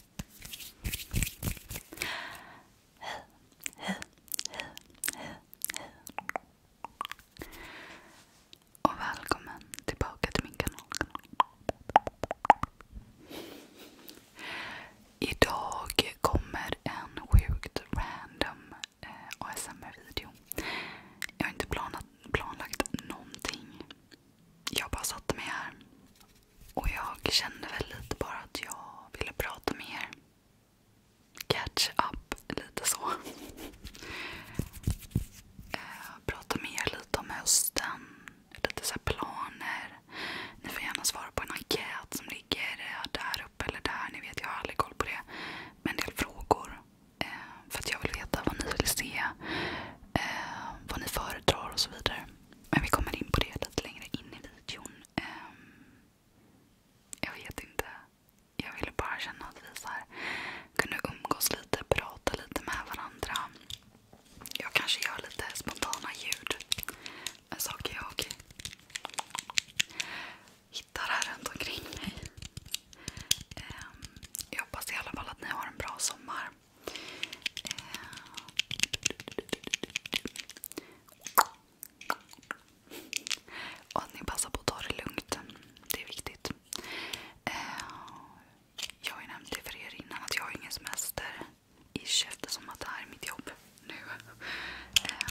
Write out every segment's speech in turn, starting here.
Hej, hej, hej, hej, hej. Och välkommen tillbaka till min kanal. Idag kommer en sjukt random eh, ASMR-video. Jag har inte planat, planlagt någonting. Jag bara satte mig här och jag kände väl lite bara att jag ville prata med er. Catch up lite så. Eh, prata med er lite om hösten. Lite så planer. Ni får gärna svara på en enkät som ligger där uppe eller där. Ni vet, jag har aldrig koll på det. Med en del frågor. Eh, för att jag vill veta vad ni vill se. Eh, vad ni föredrar och så vidare. Men vi kommer in på det lite längre in i videon. Ehm, jag vet inte. Jag ville bara känna att vi kunde umgås lite, prata lite med varandra. Jag kanske gör lite spontana ljud. En jag hittar här runt omkring mig. Ehm, jag hoppas i alla fall att ni har en bra sommar. Eh. Och att ni passar på att ta det lugnt. Det är viktigt. Eh. Jag har ju nämnt det för er innan att jag har ingen semester i eftersom det här är mitt jobb nu. Eh.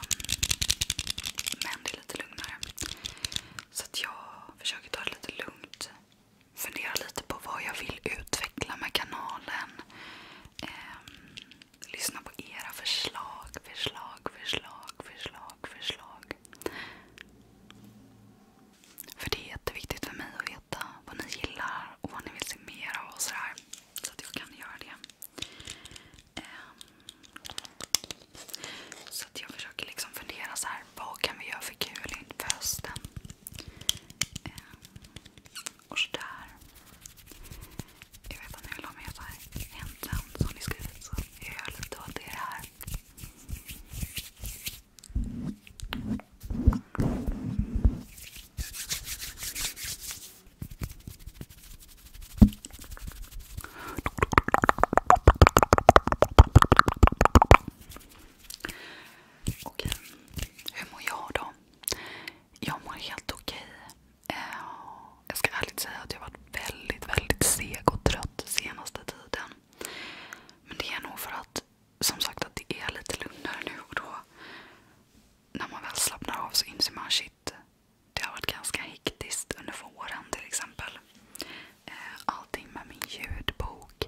Men det är lite lugnare. Så jag försöker ta det lite lugnt. Funderar lite på vad jag vill utveckla med kanalen. Eh, lyssna på era förslag, förslag, förslag, förslag, förslag. För det är jätteviktigt för mig att veta vad ni gillar och vad ni vill se mer av och sådär. Så att jag kan göra det. Eh, så att jag försöker liksom fundera så här, vad kan vi göra för kul inför hösten? Ehm, och sådär. Jag vet inte hur lång jag var egentligen som ni skrivit så jag gör lite åt er här. Okej, hur mår jag då? Jag mår helt okej. Eh, jag ska ärligt säga att jag har varit väldigt, väldigt seg och trött senaste tiden. Men det är nog för att som sagt det är lite lugnare nu och då. När man väl slappnar av så inser man shit, det har varit ganska hektiskt under våren till exempel. Eh, allting med min ljudbok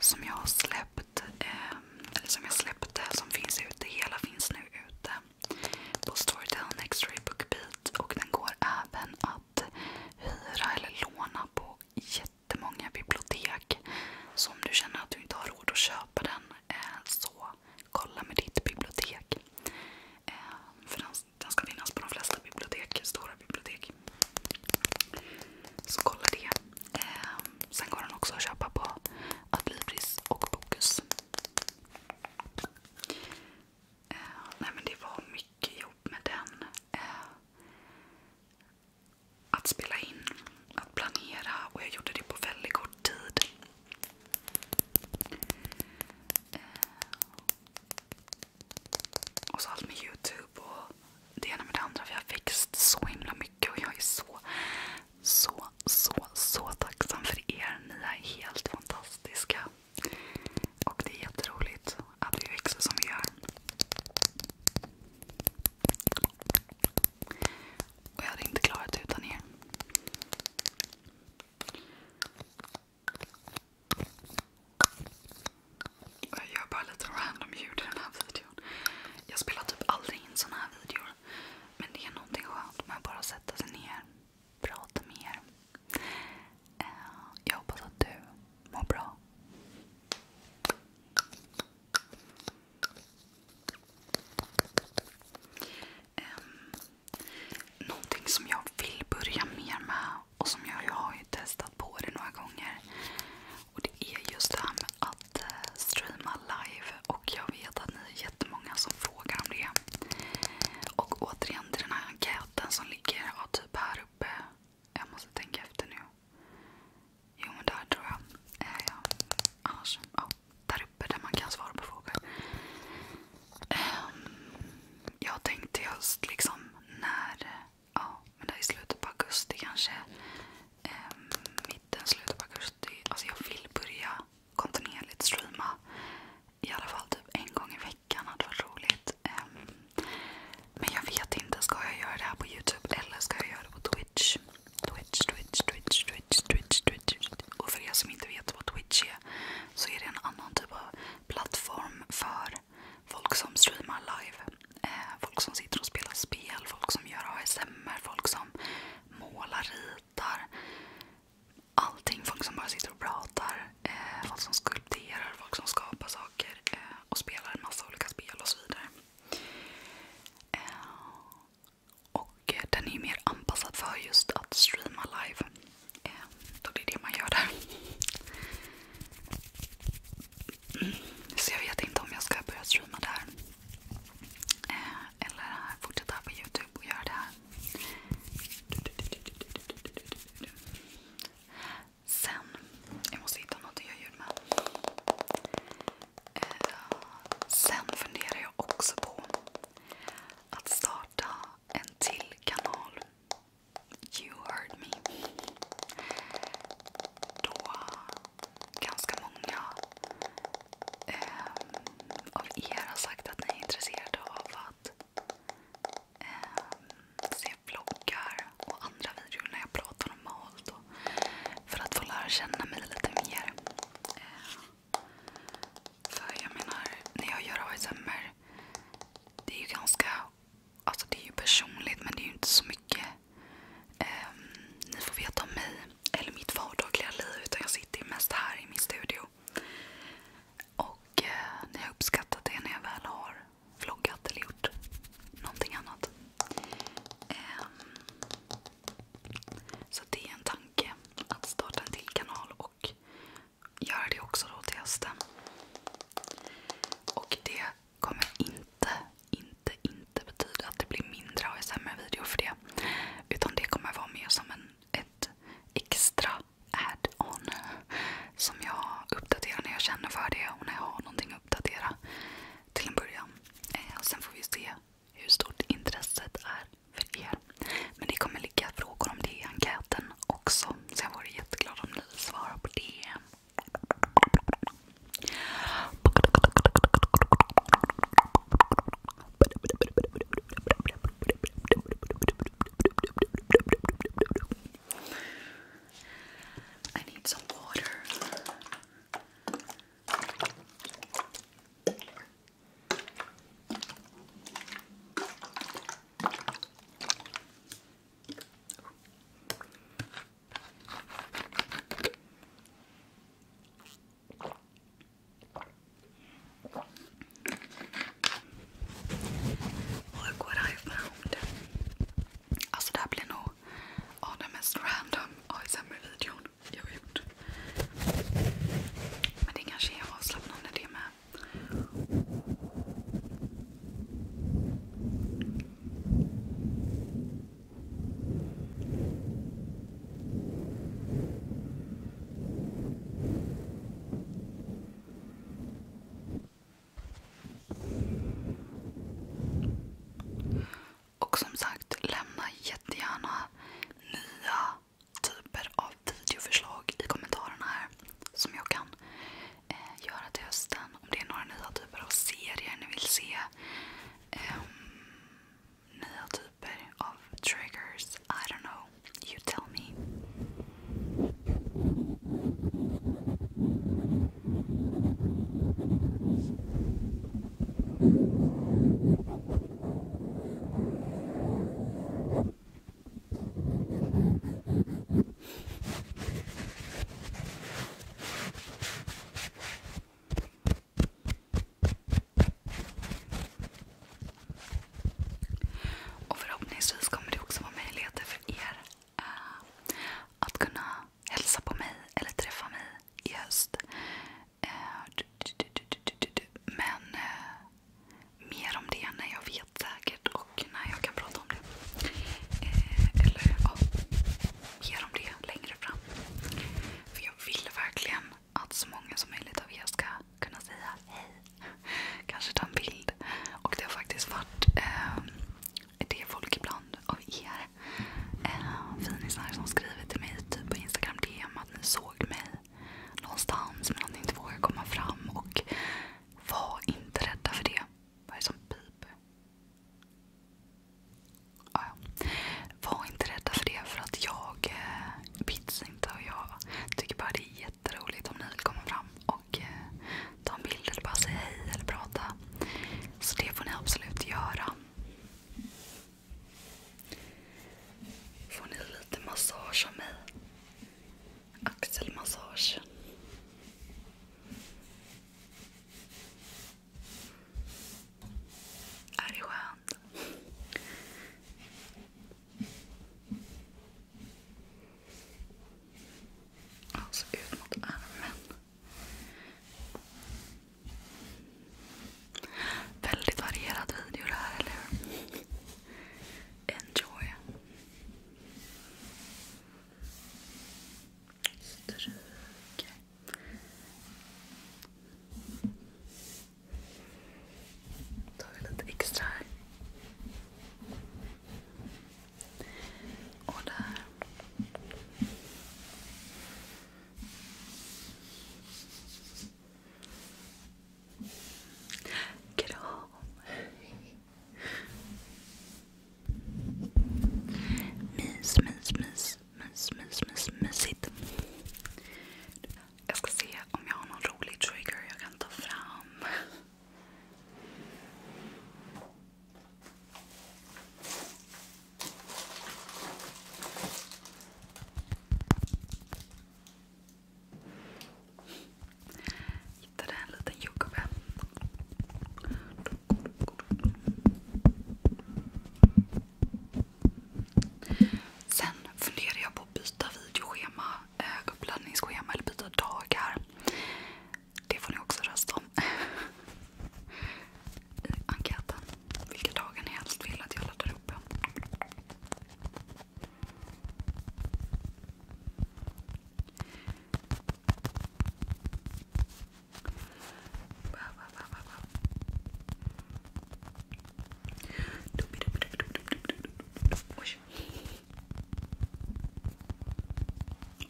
som jag har släppt, ehm, eller som jag släppte, som finns ute. Hela finns nu ute på Storytel Nextory Bookbeat och den går även att hyra eller låna på jättemånga bibliotek. Så om du känner att du inte har råd att köpa den eh, så kolla med ditt bibliotek. Ehm, för den ska finnas på de flesta bibliotek, stora bibliotek så kolla det. Ehm, sen går den också att köpa på Adlibris och Bokus. Ehm, nej men det var mycket jobb med den. Ehm, att spela in, att planera och jag gjorde det på väldigt kort tid. Och så allt med Youtube och det ena med det andra. Vi har växt så himla mycket och jag är så, så, så, så tacksam för er. Ni är helt fantastiska. Och det är jätteroligt att vi växer som vi gör. Och jag hade inte klarat det utan er. Jag gör bara lite random ljud i den här videon. Jag spelar typ aldrig in såna här videor. Men det är någonting skönt med att bara sätta sig ner prata med er. Eh, jag hoppas att du mår bra. Ehm, någonting som jag vill börja mer med och som jag, jag har ju testat på det några gånger. Och det är just det här med att eh, streama live. Och jag vet att ni är jättemånga som frågar om det. Och återigen till den här enkäten som ligger ja, typ här uppe. Jag måste tänka efter nu. Jo men där tror jag. Eh, ja. Annars, ja, där uppe där man kan svara på frågor. Um, jag tänkte just liksom när, ja men där i slutet på augusti kanske. Ehm, mitten, slutet på augusti. Alltså jag vill börja kontinuerligt streama. I alla fall typ en gång i veckan hade varit roligt. Ehm, men jag vet inte, ska jag göra det här på youtube eller ska jag göra det på twitch? Twitch, twitch, twitch, twitch, twitch, twitch. Och för er som inte vet vad twitch är så är det en annan typ av plattform för folk som streamar live. Eh, folk som sitter och spelar spel, folk som gör ASMR, folk som målar, ritar. Allting. Folk som bara sitter och pratar. Eh, folk som skulpterar, folk som skapar saker eh, och spelar en massa olika spel och så vidare. Eh, och den är ju mer anpassad för just att streama live. Ehm, då det är det man gör där. Så jag vet inte om jag ska börja streama där. Ehm, eller fortsätta på Youtube och göra det här. Sen, jag måste hitta något att göra ljud med. Ehm, sen funderar jag också på att starta en till kanal You heard me. Då ganska många ehm, av er har sagt att ni är intresserade av att ehm, se vloggar och andra videor när jag pratar om För att få lära känna mig lite mer. Ehm, för jag menar, när jag gör ASMR, det är ju ganska, alltså det är ju personligt men det är ju inte så mycket ehm, ni får veta om mig eller mitt vardagliga liv utan jag sitter mest här i min studio. Och eh, ni har uppskattat det när jag väl har vloggat eller gjort någonting annat. Ehm, så det är en tanke att starta en till kanal och göra det också då till hösten. Och det kommer inte, inte, inte betyda att det blir mindre ASMR videor för det. Utan det kommer vara mer som en, ett extra add-on. Som jag uppdaterar när jag känner för det och när jag har någonting att uppdatera. Till en början. Eh, sen får vi se hur stort intresset är för er. Men det kommer ligga frågor om det i enkäten också. Så jag vore jätteglad om ni svarar på det. I need some water. Look what I found. Alltså det här blir nog den mest random ASMR-videon jag har gjort. Men det kanske är avslappnande det med. Och som sagt, lämna jättegärna nya typer av videoförslag i kommentarerna här som jag kan eh, göra till hösten. Om det är några nya typer av serier ni vill se. Eh, nya typer av triggers. I don't know. You tell me. Och förhoppningsvis kommer det också vara möjligheter för er uh, att kunna hälsa på mig eller träffa mig i höst. Men eh, mer om det när jag vet säkert och när jag kan prata om det. Eh, eller ja, mer om det längre fram. För jag vill verkligen att så många som möjligt av er ska kunna säga hej. Kanske ta en bild. Och det har faktiskt varit eh, det folk ibland av er finisar som skriver till mig typ på Instagram DM att ni såg mig någonstans men att ni inte vågar komma fram. Och var inte rädda för det. Vad är det som piper? Ja, var inte rädda för det för att jag eh, bits inte och jag tycker bara det är jätteroligt om ni vill komma fram och eh, ta en bild eller bara säga hej eller prata. Så det får ni absolut göra. Får ni lite massage av mig? Axelmassage. Är det skönt? Alltså ut mot armen. Väldigt varierad video det här, eller hur? Enjoy. Stryker. Tar vi lite extra här. Och där. Kram! Mys, mys, mys, mys, mys, mys, mysigt. Jag ska se om jag har någon rolig trigger jag kan ta fram. Hittade en liten jordgubbe. Sen funderar jag på att byta videoschema, eh, uppladdningsschema eller byta dagar. Det får ni också rösta om i enkäten vilka dagar ni helst vill att jag laddar upp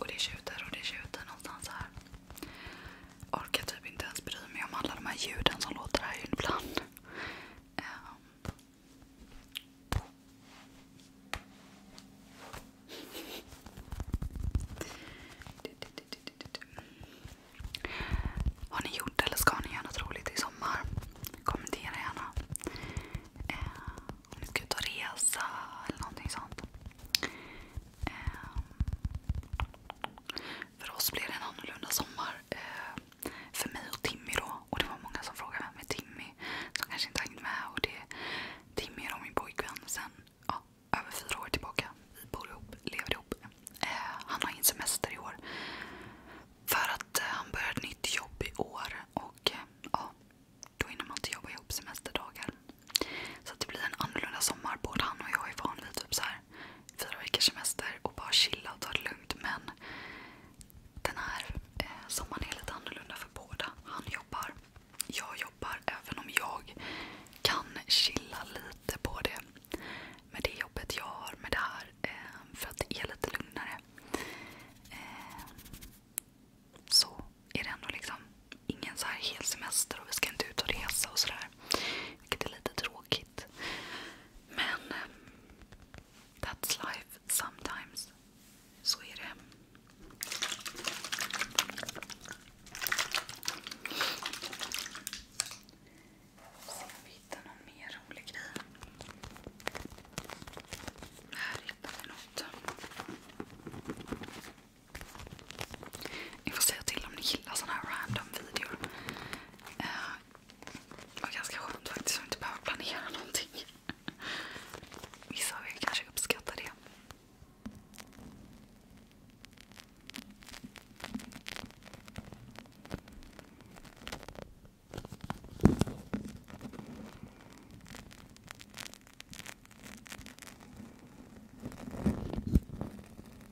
Och det tjuter och det tjuter någonstans här orkar typ inte ens bry mig om alla de här ljuden som låter här ibland. Ehm. Har ni gjort eller ska ni göra något roligt i sommar? Kommentera gärna. Ehm, om ni ska ut och resa eller någonting sånt. Ehm. För oss blev det en annorlunda sommar. Eh, för mig och Timmy då. Och det var många som frågade vem är Timmy? Som kanske inte hängt med. Och det, Timmy är min pojkvän sen ja, över fyra år tillbaka. Vi bor ihop, lever ihop. Eh, han har ingen semester i år. För att eh, han börjar ett nytt jobb i år. Och ja, då hinner man inte jobba ihop semesterdagar. Så det blir en annorlunda sommar. Både han och jag är van vid typ så här fyra veckors semester och bara chilla och ta det lugnt. Men den här eh, sommaren är lite annorlunda för båda. Han jobbar, jag jobbar, även om jag kan chilla lite på det med det jobbet jag har med det här. Eh, för att det är lite lugnare. Eh, så är det ändå liksom ingen så här hel semester och vi ska inte ut och resa och sådär. Vilket är lite tråkigt. Men eh, that's life sometimes. Så är det. Se om vi hittar någon mer rolig grej. Här hittar vi något. Ni får säga till om ni gillar såna här random videor. Uh, det var ganska skönt faktiskt att inte behöva planera någonting. Vissa av er kanske uppskattar det.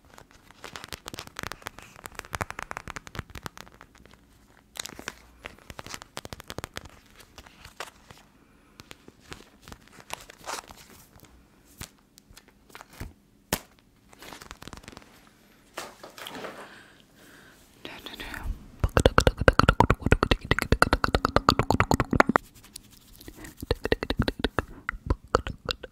Nu, nu, nu.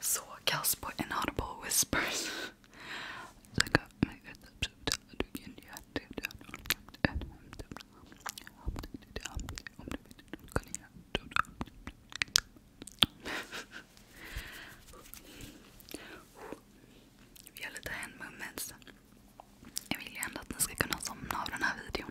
Så kass på inaudible whispers. Vi gör lite hand movements. Jag vill ju ändå att ni ska kunna somna av den här videon.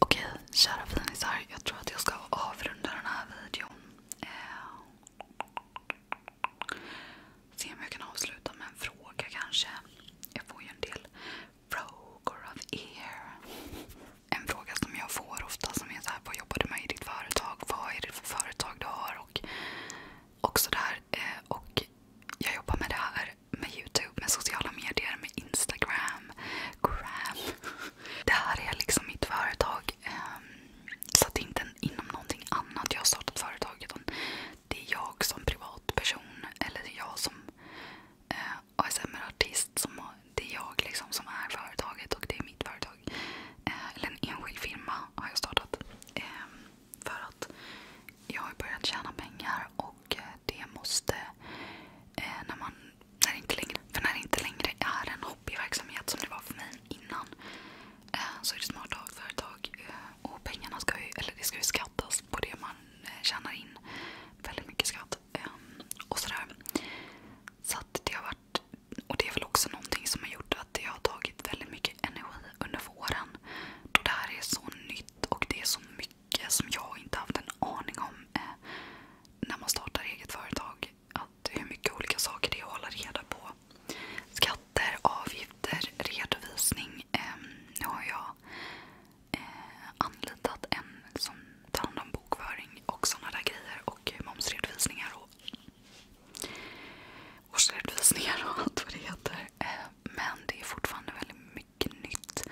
Okej, kära finisar. Jag tror att jag ska avrunda den här videon. Eh. Se om jag kan avsluta med en fråga kanske. Jag får ju en del frågor av er. En fråga som jag får ofta som är så här, vad jobbar du med i ditt företag? Vad är det för företag du har? Och, och sådär. Eh, och jag jobbar med det här med Youtube, med sociala medier, med Instagram. Gram. Det här är liksom mitt företag. Ehm, så det är inte inom någonting annat jag har startat företaget. Utan det är jag som privatperson eller det är jag som eh, ASMR-artist. det är jag liksom som är företaget och det är mitt företag. Eh, eller en enskild firma har jag startat. Eh, för att jag har börjat tjäna pengar och eh, det måste eh, när man när det inte längre, för när det inte längre är en hobbyverksamhet som det var för mig innan eh, så är det smart att ha ett företag. Eh, och pengarna ska ju, eller det ska ju beskattas alltså, på det man eh, tjänar in. Väldigt mycket skatt. Ehm, och sådär. Så att det har varit, och det är väl också någonting som har gjort att det har tagit väldigt mycket energi under våren. Då det här är så nytt och det är så mycket som jag inte haft en aning om eh, när man startar eget företag. Att hur mycket olika saker det är att hålla reda på. Ska skatter, avgifter, redovisning. Ehm, nu har jag eh, anlitat en som tar hand om bokföring och sådana där grejer. Och momsredovisningar och årsredovisningar och allt vad det heter. Ehm, men det är fortfarande väldigt mycket nytt.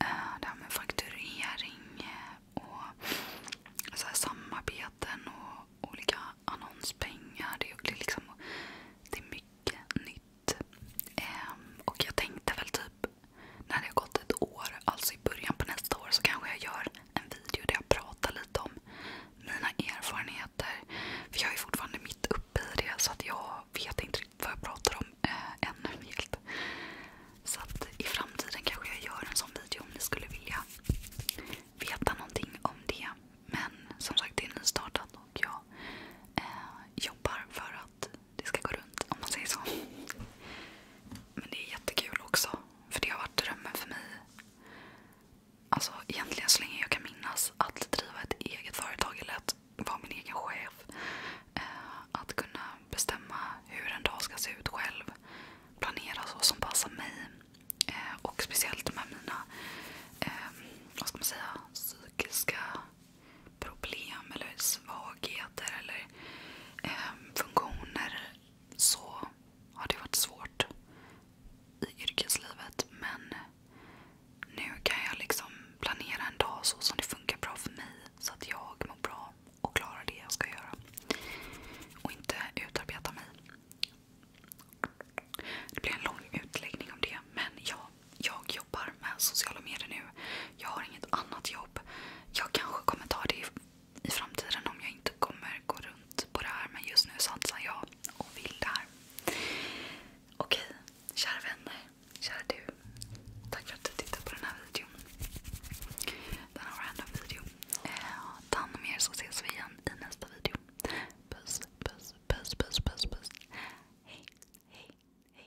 Eh, det här med fakturering eh, och så här samarbeten och olika annonspengar. Det är, liksom, det är mycket mycket ehm, och jag tänkte väl typ när det har gått ett år, alltså i början på nästa år, så kanske jag gör en video där jag pratar lite om mina erfarenheter. För jag är fortfarande mitt uppe i det så jag vet inte riktigt vad jag pratar om eh, Så i framtiden kanske jag gör en sån video om ni skulle vilja veta någonting om det. Men som sagt, det är nystartat och jag eh, jobbar för att det ska gå runt om man säger så. Men det är jättekul också. För det har varit drömmen för mig. Alltså, egentligen så länge jag kan minnas att driva ett eget företag eller att vara min egen chef. Eh, att kunna bestämma hur en dag ska se ut själv. Planera så som passar mig. Eh, och speciellt de här mina eh, vad ska man säga, psykiska problem eller svagheter eller eh, funktioner. Så har det varit svårt i yrkeslivet. Men nu kan jag liksom planera en dag så som det funkar bra för mig. Så att jag mår bra och klarar det jag ska göra. Och inte utarbeta mig. Det blir en lång utläggning om det. Men ja, jag jobbar med sociala medier nu. Jag har inget annat jobb. Jag kanske kommer ta det i framtiden om jag inte kommer gå runt på det här. Men just nu satsar jag och vill det här. Okej, kära vänner. Kära du. Tack för att du tittade på den här videon. Denna random video. Eh, ta hand om er så ses vi igen i nästa video. Puss, puss. buzz, buzz, buzz, buzz, Hey, hey, hey.